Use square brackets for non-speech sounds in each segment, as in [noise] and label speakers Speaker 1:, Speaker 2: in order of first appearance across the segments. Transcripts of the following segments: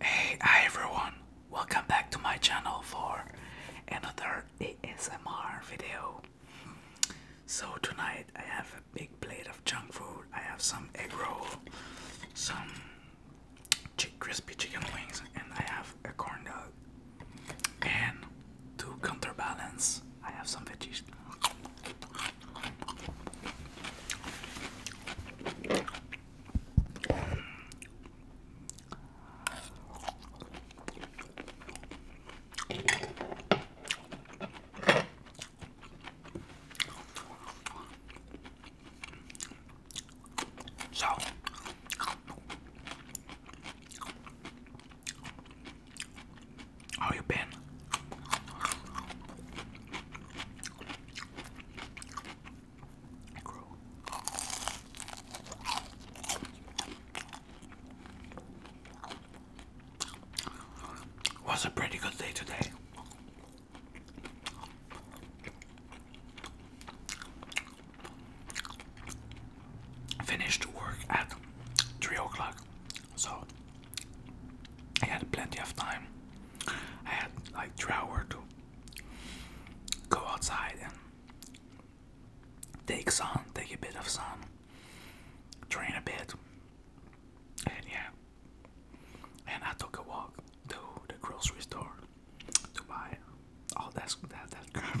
Speaker 1: Hey, hi everyone! Welcome back to my channel for another ASMR video. So tonight I have a big plate of junk food. I have some egg roll, some crispy chicken wings, and I have a corn dog. And to counterbalance, I have some veggies. So how you been? Was a pretty good day today. Finished work at three o'clock, so I had plenty of time. I had like three hours to go outside and take sun, take a bit of sun, train a bit, and yeah. And I took a walk to the grocery store to buy all that that that crap.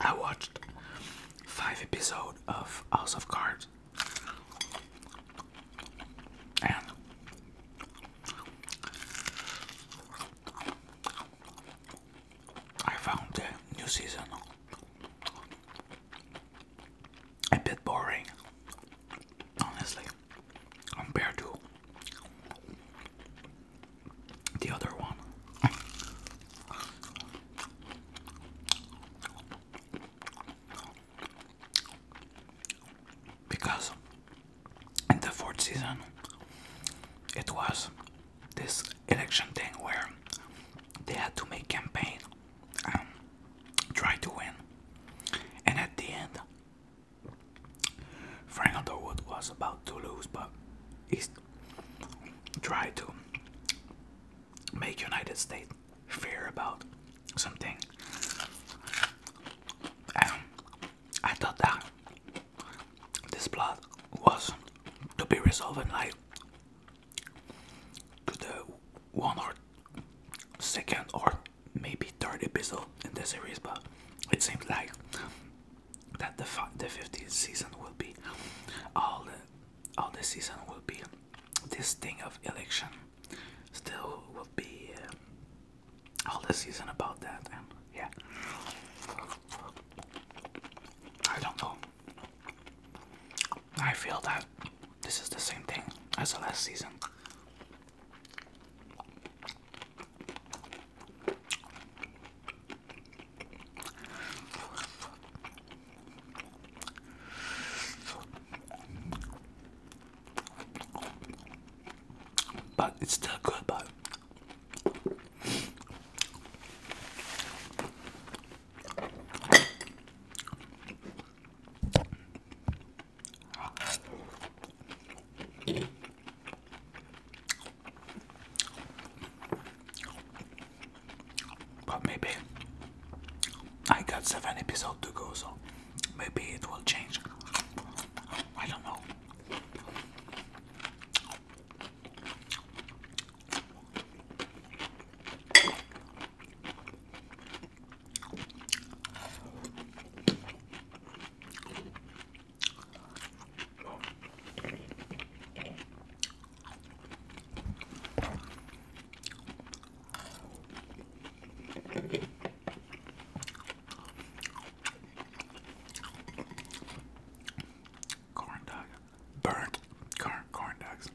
Speaker 1: I watched five episodes of House of Cards and I found the new season a bit boring, honestly, compared to the other one. Because in the fourth season, it was this election thing where they had to make campaign um, try to win. And at the end, Frank Underwood was about to lose, but he tried to make United States fear about something. I thought that this plot was to be resolved in like good uh, one or second or maybe third episode in the series, but it seems like that the the fifteenth season will be all the all the season will be this thing of election still will be uh, all the season about that and yeah I don't know I feel that this is the same thing as the last season. But it's still good, but but maybe I got seven episodes to go, so maybe it will change. I don't know. Corn dog, burnt corn corn dogs.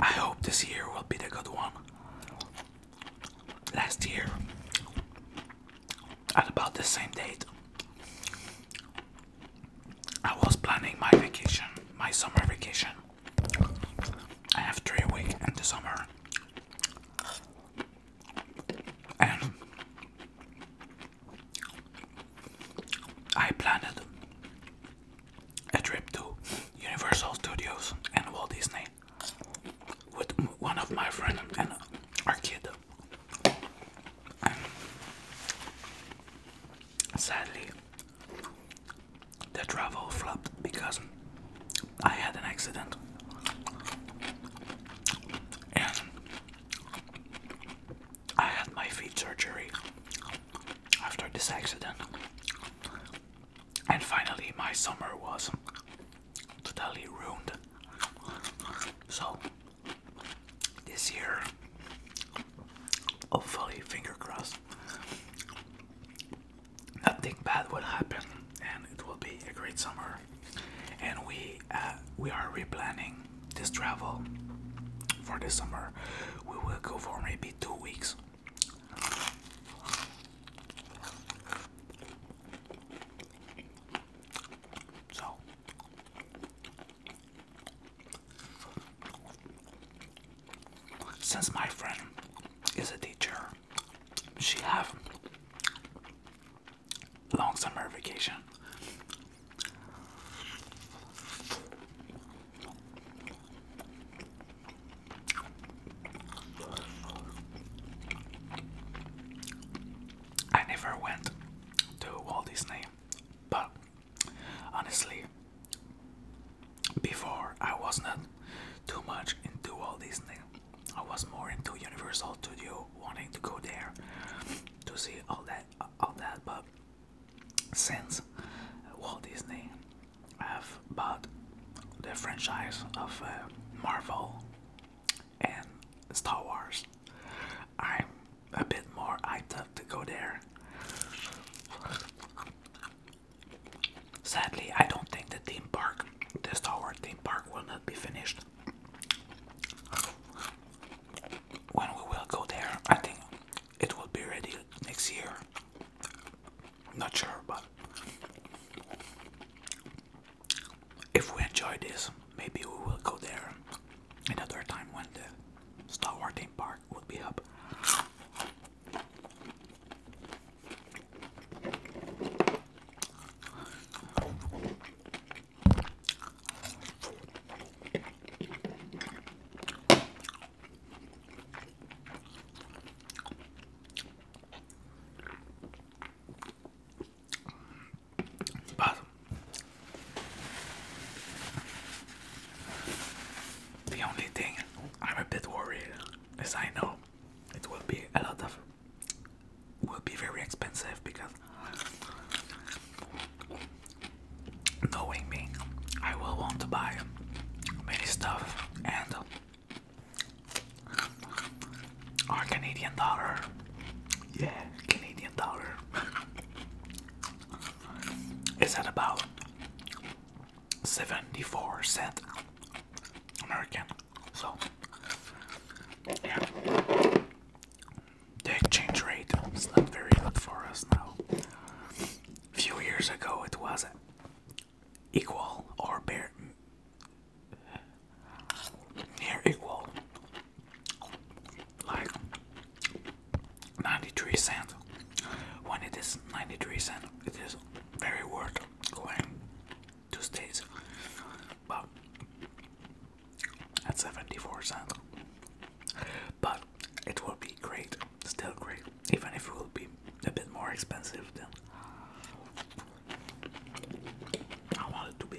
Speaker 1: I hope this year will be the good one. Last year, at about the same date, I was planning my vacation, my summer vacation. I have three weeks in the summer. And I planned a trip to Universal Studios and Walt Disney with one of my friends and our kid. Sadly, the travel flopped because I had an accident. And I had my feet surgery after this accident. And finally, my summer was totally ruined. So, this year. Hopefully, finger crossed, nothing bad will happen, and it will be a great summer. And we uh, we are replanning this travel for this summer. We will go for maybe two weeks. So since my friend is a teacher, she have long summer vacation. I never went to Walt Disney. But honestly, before I was not too much into all Walt Disney. I was more into Universal Studio, wanting to go there to see all that, all that. But since Walt Disney have bought the franchise of uh, Marvel and Star Wars. I'm a bit more hyped up to go there. Sadly, I don't think the theme park, the Star Wars theme park, will not be finished. When we will go there, I think it will be ready next year. Not sure, but if we enjoy this, maybe we will go there another time when the Star Wars theme park will be up. But the only thing I'm a bit worried as I know it will be a lot of will be very expensive because knowing me I will want to buy many stuff and our Canadian dollar yeah Canadian dollar is that about 74 cent American. So yeah. The exchange rate is not very good for us now. A few years ago it was equal or bare near equal, like 93 cents. When it is 93 cents, it is very worth going to states. But at 74 cents, but it will be great, still great, even if it will be a bit more expensive than I want it to be.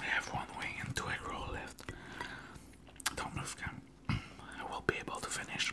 Speaker 1: I have one wing and two egg roll left. Don't move, Cam. [clears throat] I will be able to finish.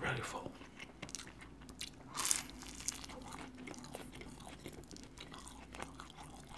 Speaker 1: Really full.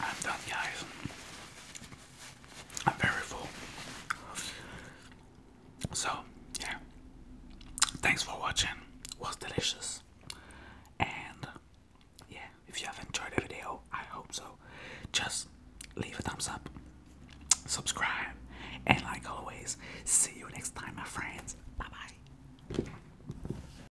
Speaker 1: I'm done, guys. I'm very full. So, yeah. Thanks for watching. It was delicious. And yeah, if you have enjoyed the video, I hope so. Just leave a thumbs up, subscribe, and like always, see you next time, my friends. Bye bye.